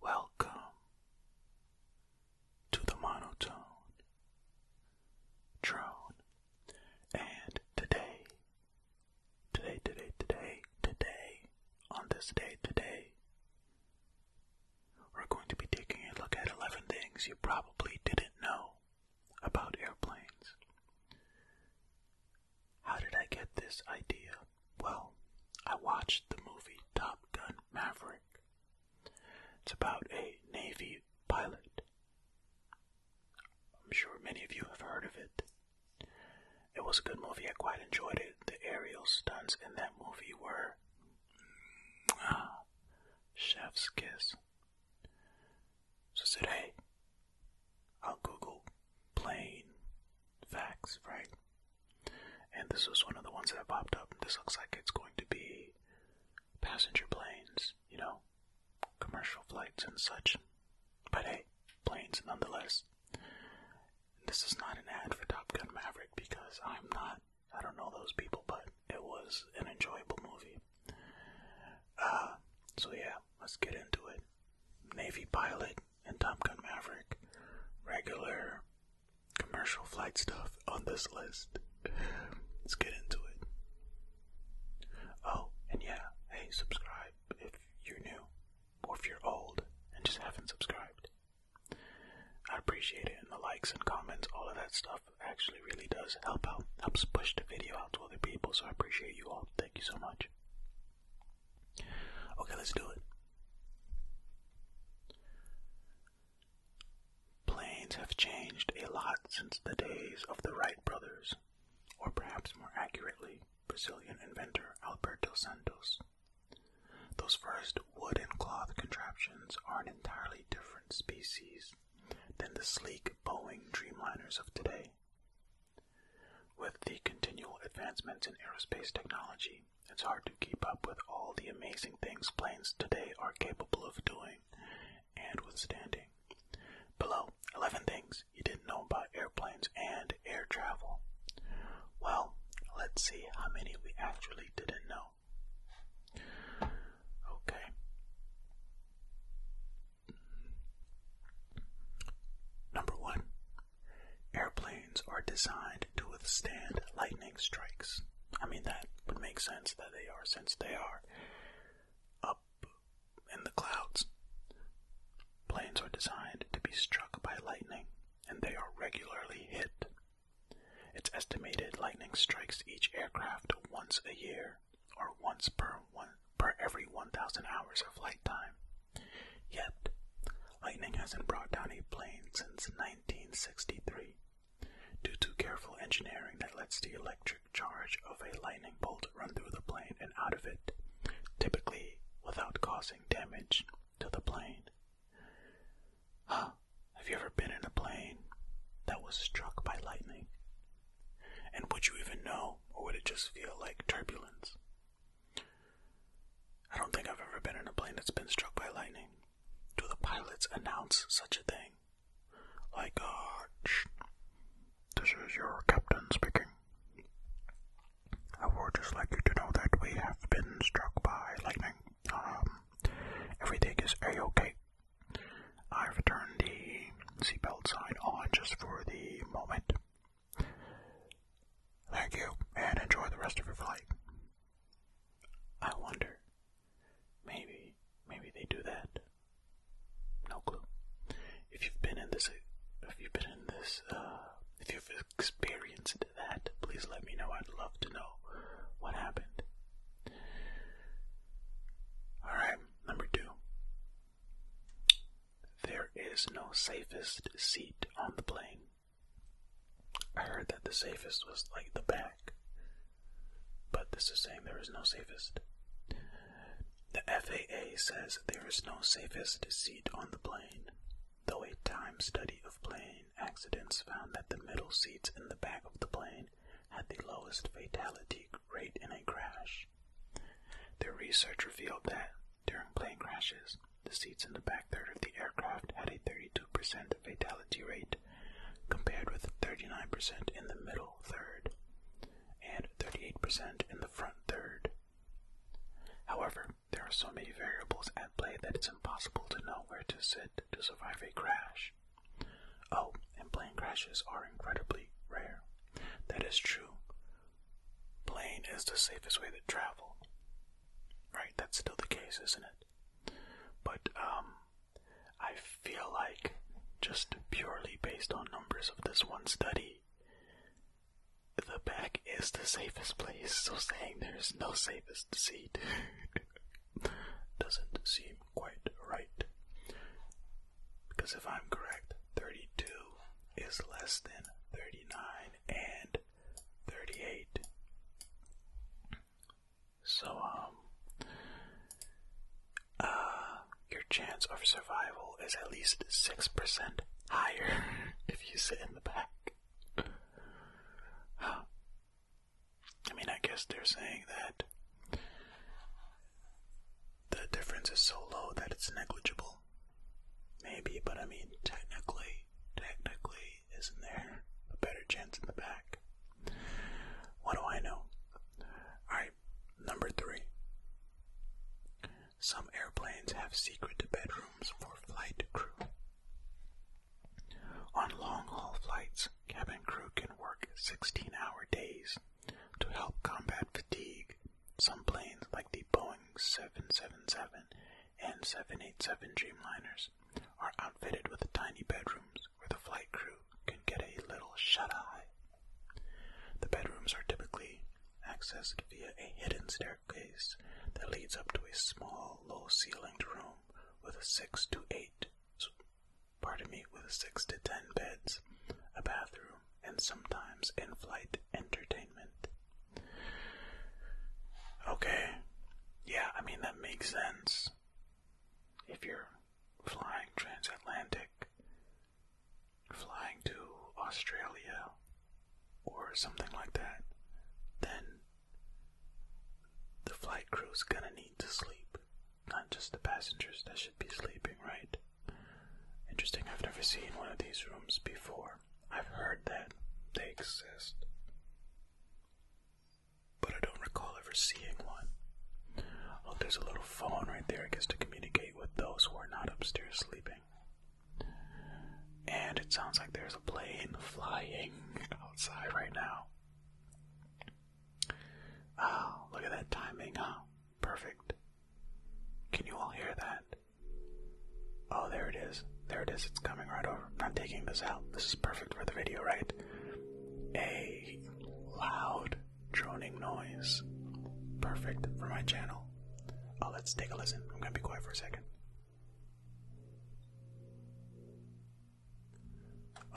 Welcome to the monotone drone, and today Today, today, today, today, on this day, today, we're going to be taking a look at 11 things you probably didn't know about airplanes. How did I get this idea? Well, I watched the movie Top Gun Maverick. It's about a Navy pilot. I'm sure many of you have heard of it. It was a good movie. I quite enjoyed it. The aerial stunts in that movie were ah, chef's kiss. So I said, hey, I'll Google plain facts, right? And this was one of the ones that popped up. This looks like it's going to be passenger planes, you know, commercial flights and such. But hey, planes nonetheless. This is not an ad for Top Gun Maverick because I'm not, I don't know those people, but it was an enjoyable movie. Uh, so yeah, let's get into it. Navy pilot and Top Gun Maverick. Regular commercial flight stuff on this list. Let's get into it. Oh, and yeah, hey, subscribe if you're new or if you're old and just haven't subscribed. I appreciate it, and the likes and comments, all of that stuff actually really does help out, helps push the video out to other people, so I appreciate you all. Thank you so much. Okay, let's do it. Planes have changed a lot since the days of the Wright brothers, or perhaps more accurately, Brazilian inventor Alberto Santos. Those first wood and cloth contraptions are an entirely different species than the sleek Boeing Dreamliners of today. With the continual advancements in aerospace technology, it's hard to keep up with all the amazing things planes today are capable of doing and withstanding. Below 11 things he didn't know about airplanes and air travel. Well, let's see how many we actually didn't know. Okay. Number one, airplanes are designed to withstand lightning strikes. I mean, that would make sense that they are, since they are up in the clouds. Planes are designed to be struck by lightning, and they are regularly hit. It's estimated lightning strikes each aircraft once a year, or once per one per every 1,000 hours of flight time. Yet, lightning hasn't brought down a plane since 1963, due to careful engineering that lets the electric charge of a lightning bolt run through the plane and out of it, typically without causing damage to the plane. Huh, have you ever been in a plane that was struck by lightning? And would you even know, or would it just feel like turbulence? I don't think I've ever been in a plane that's been struck by lightning. Do the pilots announce such a thing? Like, uh, this is your captain speaking. I would just like you to know that we have been struck by lightning. Um, everything is a-okay. I've turned the seatbelt sign on just for the moment. Thank you, and enjoy the rest of your flight. I wonder, maybe, maybe they do that. No clue. If you've been in this, if you've been in this uh, if you've experienced that, please let me know. I'd love to know what happened. Alright, number two. There is no safest seat on the plane. I heard that the safest was like the back, but this is saying there is no safest. The FAA says there is no safest seat on the plane though a time study of plane accidents found that the middle seats in the back of the plane had the lowest fatality rate in a crash. Their research revealed that during plane crashes, the seats in the back third of the aircraft had a 32% fatality rate, compared with 39% in the middle third and 38% in the front third. However, there are so many variables at play that it's impossible to know where to sit to survive a crash. Oh, and plane crashes are incredibly rare. That is true. Plane is the safest way to travel. Right, that's still the case, isn't it? But, um, I feel like just purely based on numbers of this one study, the back is the safest place, so saying there is no safest seat doesn't seem quite right. Because if I'm correct, 32 is less than 39 and 38. So, um, uh, your chance of survival is at least 6% higher if you sit in the back. I mean, I guess they're saying that the difference is so low that it's negligible. Maybe, but I mean, technically, technically, isn't there a better chance in the back? What do I know? Alright, number three. Some airplanes have secret bedrooms for flight crew. On long-haul flights, cabin crew can work 16-hour days to help combat fatigue. Some planes, like the Boeing 777 and 787 Dreamliners, are outfitted with tiny bedrooms where the flight crew can get a little shut-eye. The bedrooms are typically accessed via a hidden stairway that leads up to a small, low-ceilinged room with six to eight, pardon me, with six to ten beds, a bathroom, and sometimes in-flight entertainment. Okay, yeah, I mean that makes sense. If you're flying transatlantic, flying to Australia or something like that, then the flight crew's gonna need to sleep. Not just the passengers that should be sleeping, right? Interesting, I've never seen one of these rooms before. I've heard that they exist, but I don't recall ever seeing one. Oh, there's a little phone right there, I guess, to communicate with those who are not upstairs sleeping. And it sounds like there's a plane flying outside right now. Ah, oh, look at that timing, huh? Perfect. Can you all hear that? Oh, there it is. There it is. It's coming right over. I'm not taking this out. This is perfect for the video, right? A loud droning noise. Perfect for my channel. Oh, let's take a listen. I'm gonna be quiet for a second.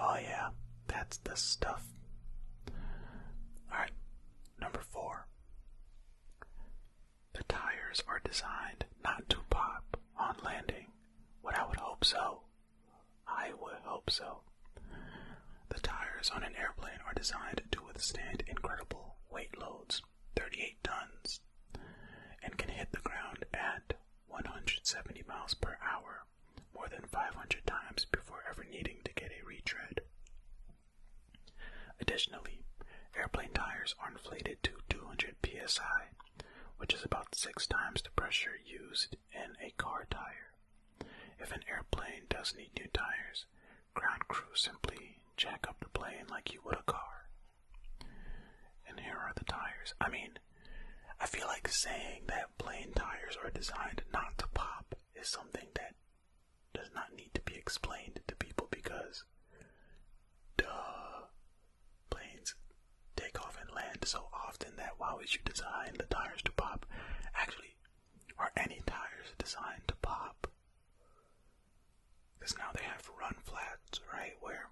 Oh, yeah, that's the stuff. Alright, number four. The tires are designed not to pop on landing. What I would hope so. I would hope so. The tires on an airplane are designed to withstand incredible weight loads. 38 tons and can hit the ground at 170 miles per hour more than 500 times before ever needing to get a retread. Additionally, airplane tires are inflated to 200 psi, which is about six times the pressure used in a car tire. If an airplane does need new tires, ground crew simply jack up the plane like you would a car and here are the tires. I mean, I feel like saying that plane tires are designed not to pop is something that does not need to be explained to people because, duh, planes take off and land so often that why would you design the tires to pop? Actually, are any tires designed to pop? Because now they have run flats, right? Where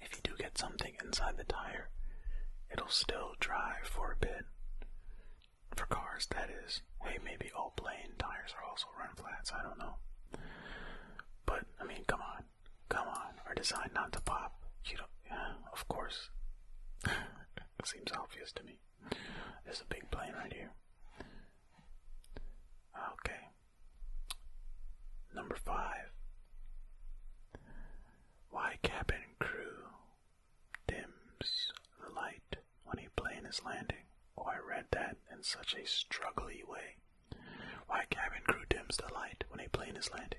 if you do get something inside the tire, it'll still drive for a bit. For cars, that is. Hey, maybe all plane tires are also run flats, I don't know. But, I mean, come on. Come on. Are designed not to pop. You don't. Yeah, of course. it seems obvious to me. There's a big plane right here. Okay. Number five. Why cabin crew dims the light when a plane is landing? Oh, I read that in such a struggly way. Why cabin crew dims the light when a plane is landing?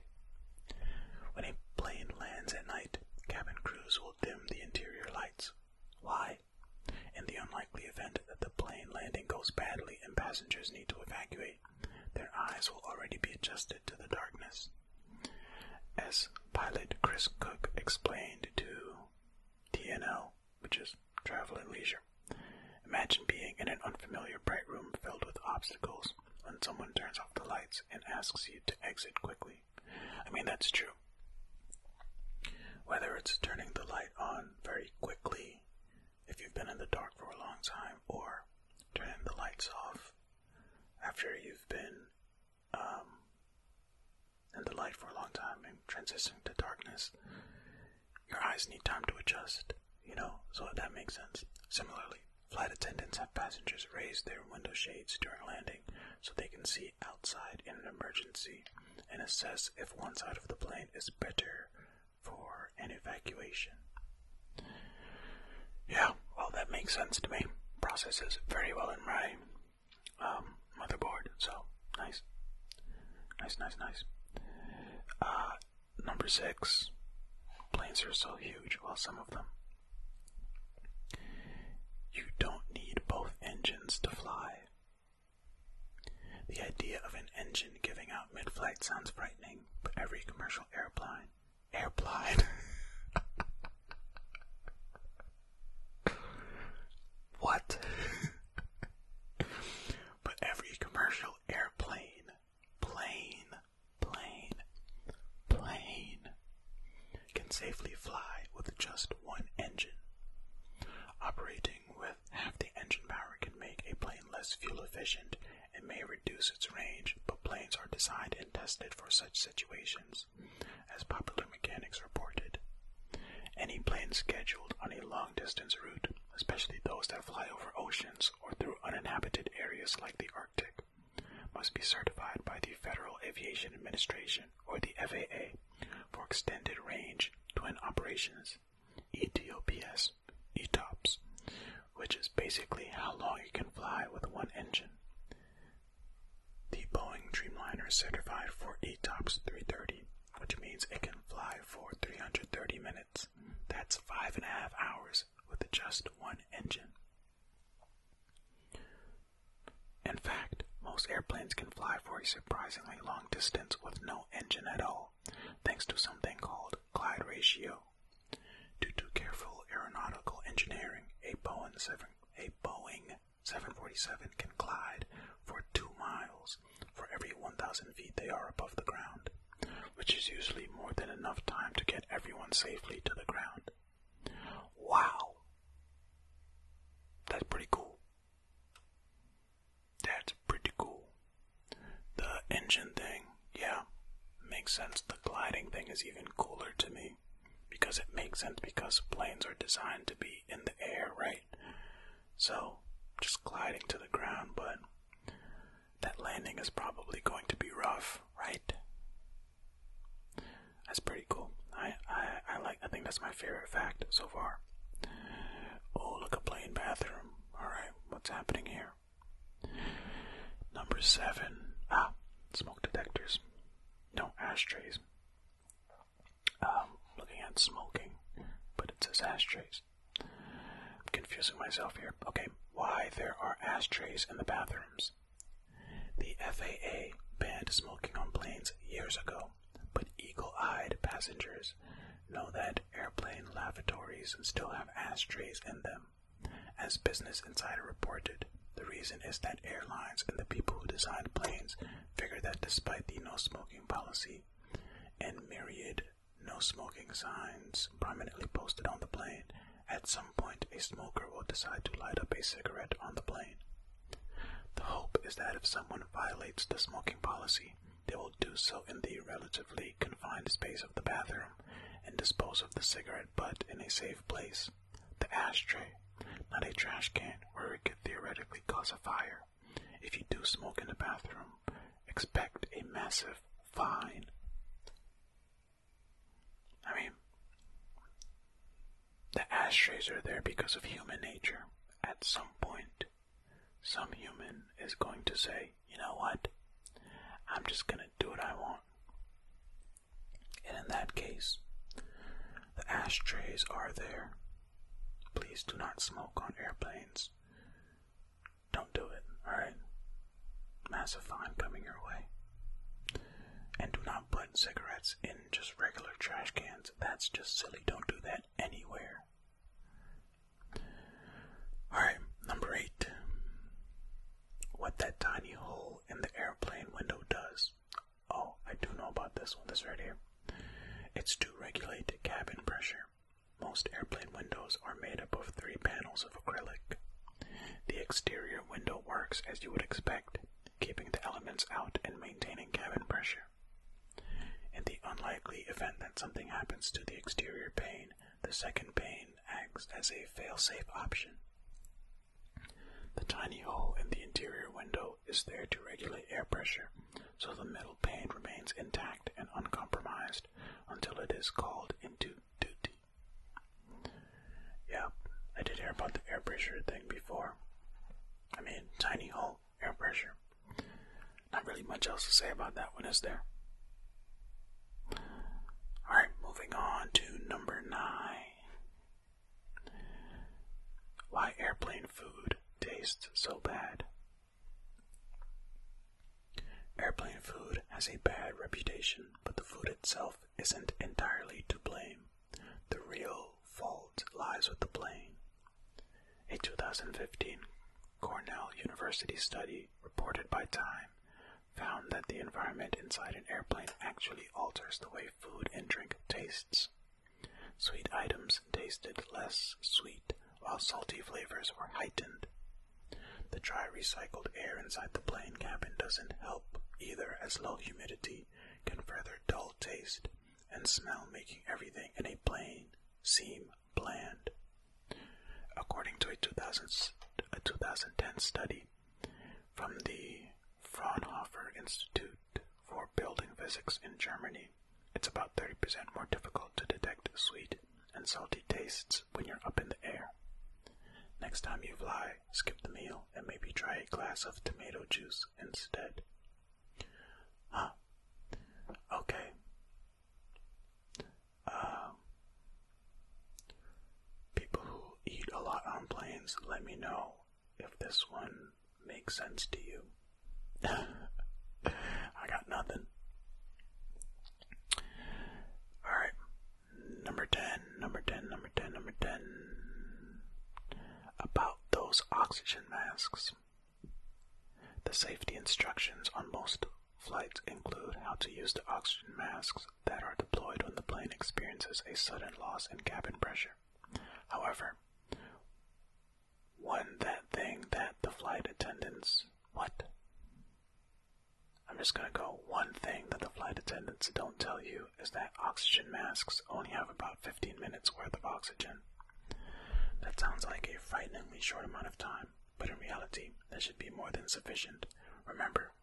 When a plane lands at night, cabin crews will dim the interior lights. Why? In the unlikely event that the plane landing goes badly and passengers need to evacuate, their eyes will already be adjusted to the darkness. As pilot Chris Cook explained to TNL, which is Travel and Leisure, imagine being in an unfamiliar bright room filled with obstacles when someone turns off the lights and asks you to exit quickly. I mean, that's true. Whether it's turning the light on very quickly if you've been in the dark for a long time, or turning the lights off after you've been um, in the light for a long time and transitioning to darkness, your eyes need time to adjust, you know, so that makes sense. Similarly, flight attendants have passengers raise their window shades during landing so they can see outside in an emergency and assess if one side of the plane is better for an evacuation. Yeah, well, that makes sense to me. Processes very well in my um, motherboard, so nice. Nice, nice, nice. Uh, number six, planes are so huge, well, some of them. You don't need both engines to fly. The idea of an engine giving out mid-flight sounds frightening, but every commercial airplane, airplane, what? but every commercial airplane, plane, plane, plane, can safely fly with just one engine, operating with half the engine power can make a plane less fuel efficient and may reduce its range, but planes are designed and tested for such situations, as popular mechanics reported. Any plane scheduled on a long distance route, especially those that fly over oceans or through uninhabited areas like the Arctic, must be certified by the Federal Aviation Administration or the FAA for extended range twin operations ETOPS, ETOPS, which is basically how long you can fly with one engine. The Boeing Dreamliner is certified for ETOPS 330, which means it can fly for 330 minutes. That's five and a half hours with just one engine. In fact, most airplanes can fly for a surprisingly long distance with no engine at all thanks to something called glide ratio. Due to careful aeronautical engineering, a Boeing 747 can glide for two miles for every 1,000 feet they are above the ground, which is usually more than enough time to get everyone safely to the ground. Wow! That's pretty cool. That's pretty cool. The engine thing, yeah, makes sense. The gliding thing is even cooler to me because it makes sense because planes are designed to be in the air, right? So, just gliding to the ground, but that landing is probably going to be rough, right? That's pretty cool. I, I, I like. I think that's my favorite fact so far. Oh, look, a plain bathroom. Alright, what's happening here? Number seven. Ah, smoke detectors. No ashtrays. Um, looking at smoking, but it says ashtrays. I'm confusing myself here. Okay, why there are ashtrays in the bathrooms? The FAA banned smoking on planes years ago, but eagle eyed passengers know that airplane lavatories still have ashtrays in them. As Business Insider reported, the reason is that airlines and the people who designed planes figure that despite the no smoking policy and myriad no smoking signs prominently posted on the plane, at some point a smoker will decide to light up a cigarette on the plane. The hope is that if someone violates the smoking policy, they will do so in the relatively confined space of the bathroom and dispose of the cigarette butt in a safe place. The ashtray, not a trash can where it could theoretically cause a fire. If you do smoke in the bathroom, expect a massive fine. I mean, the ashtrays are there because of human nature. At some point, some human is going to say, you know what? I'm just going to do what I want. And in that case, the ashtrays are there. Please do not smoke on airplanes. Don't do it, alright? Massive fine coming your way. And do not put cigarettes in just regular trash cans. That's just silly. Don't do that anywhere. Alright, number eight. What that tiny hole in the airplane window does. Oh, I do know about this one, this right here. It's to regulate cabin pressure. Most airplane windows are made up of three panels of acrylic. The exterior window works as you would expect, keeping the elements out and maintaining cabin pressure. In the unlikely event that something happens to the exterior pane, the second pane acts as a failsafe option. The tiny hole in the interior window is there to regulate air pressure, so the metal pane remains intact and uncompromised until it is called into duty. Yep, I did hear about the air pressure thing before. I mean, tiny hole, air pressure. Not really much else to say about that one, is there? Alright, moving on to number nine. Why airplane food tastes so bad. Airplane food has a bad reputation, but the food itself isn't entirely to blame. The real fault lies with the plane. A 2015 Cornell University study reported by Time found that the environment inside an airplane actually alters the way food and drink tastes. Sweet items tasted less sweet, while salty flavors were heightened. The dry recycled air inside the plane cabin doesn't help either, as low humidity can further dull taste and smell, making everything in a plane seem planned. According to a, 2000, a 2010 study from the Fraunhofer Institute for Building Physics in Germany, it's about 30% more difficult to detect sweet and salty tastes when you're up in the air. Next time you fly, skip the meal and maybe try a glass of tomato juice instead. Huh. Okay, um, people who eat a lot on planes, let me know if this one makes sense to you. I got nothing. Alright, number 10, number 10, number 10, number 10. About those oxygen masks. The safety instructions on most Flights include how to use the oxygen masks that are deployed when the plane experiences a sudden loss in cabin pressure. However, one that thing that the flight attendants what? I'm just gonna go one thing that the flight attendants don't tell you is that oxygen masks only have about 15 minutes worth of oxygen. That sounds like a frighteningly short amount of time but in reality, that should be more than sufficient. Remember,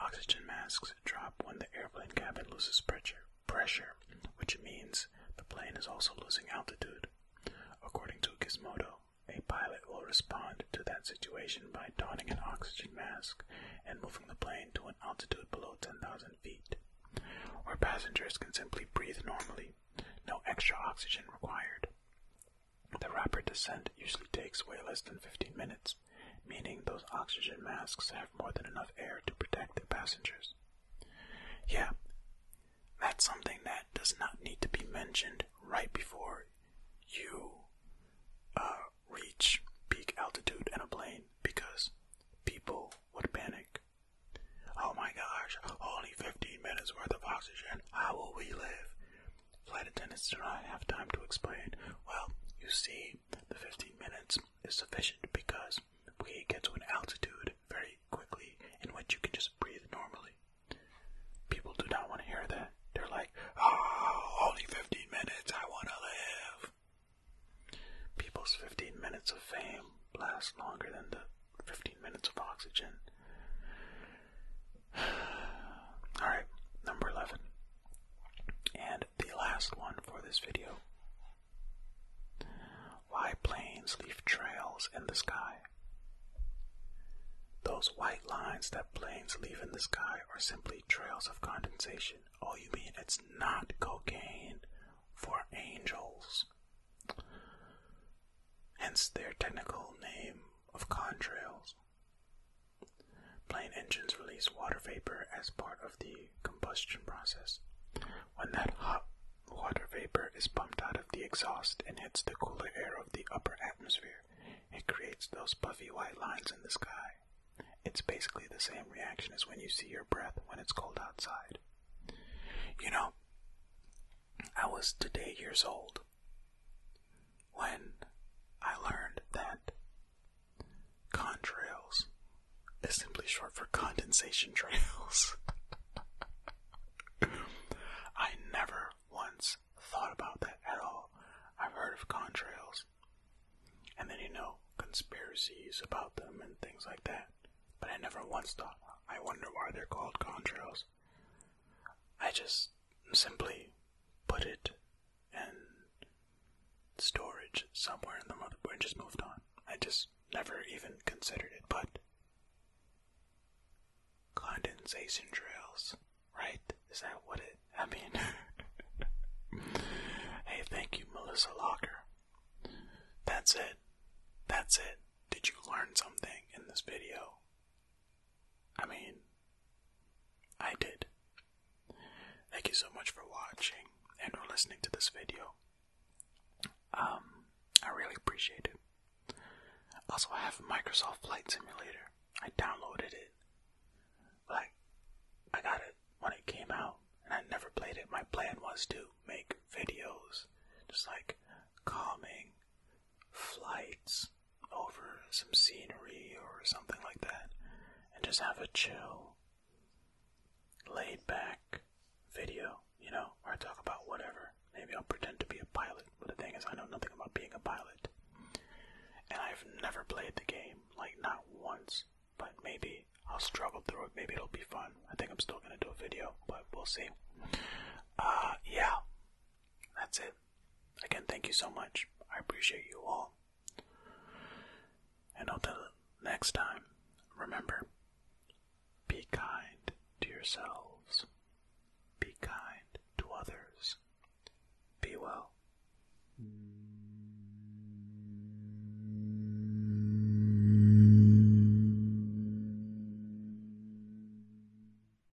oxygen masks drop when the airplane cabin loses pressure, pressure, which means the plane is also losing altitude. According to Gizmodo, a pilot will respond to that situation by donning an oxygen mask and moving the plane to an altitude below 10,000 feet, where passengers can simply breathe normally, no extra oxygen required. The rapid descent usually takes way less than 15 minutes, meaning those oxygen masks have more than enough air to protect the passengers. Yeah, that's something that does not need to be mentioned right before you uh, reach peak altitude in a plane because people would panic. Oh my gosh, only 15 minutes worth of oxygen. How will we live? Flight attendants do not have time to explain. Well, you see, the 15 minutes is sufficient because we get to an altitude very quickly in which you can just breathe normally. People do not want to hear that. They're like, oh, only 15 minutes, I want to live. People's 15 minutes of fame last longer than the 15 minutes of oxygen. Alright, number 11. And the last one for this video. Why planes leave trails in the sky. Those white lines that planes leave in the sky are simply trails of condensation. Oh, you mean it's not cocaine for angels? hence their technical name of contrails. Plane engines release water vapor as part of the combustion process. When that hot water vapor is pumped out of the exhaust and hits the cooler air of the upper atmosphere, it creates those puffy white lines in the sky. It's basically the same reaction as when you see your breath when it's cold outside. You know, I was today years old when I learned that contrails is simply short for condensation trails. I never once thought about that at all. I've heard of contrails, and then you know, conspiracies about them and things like that, but I never once thought, I wonder why they're called contrails. I just simply put it in storage somewhere in the motherboard and just moved on. I just never even considered it, but condensation trails, right? Is that what it? I mean, hey, thank you, Melissa Locker. That's it. That's it. Did you learn something in this video? I mean, I did. Thank you so much for watching and for listening to this video. Um, I really appreciate it. Also, I have Microsoft Flight Simulator. I downloaded it. Like, I got it when it came out, and I never played it. My plan was to make videos, just like calming, flights over some scenery or something like that and just have a chill, laid back video, you know, Or talk about whatever. Maybe I'll pretend to be a pilot, but the thing is, I know nothing about being a pilot. And I've never played the game, like, not once. But maybe I'll struggle through it. Maybe it'll be fun. I think I'm still gonna do a video, but we'll see. Uh, yeah. That's it. Again, thank you so much. I appreciate you all. And until next time, remember be kind to yourselves, be kind to others, be well.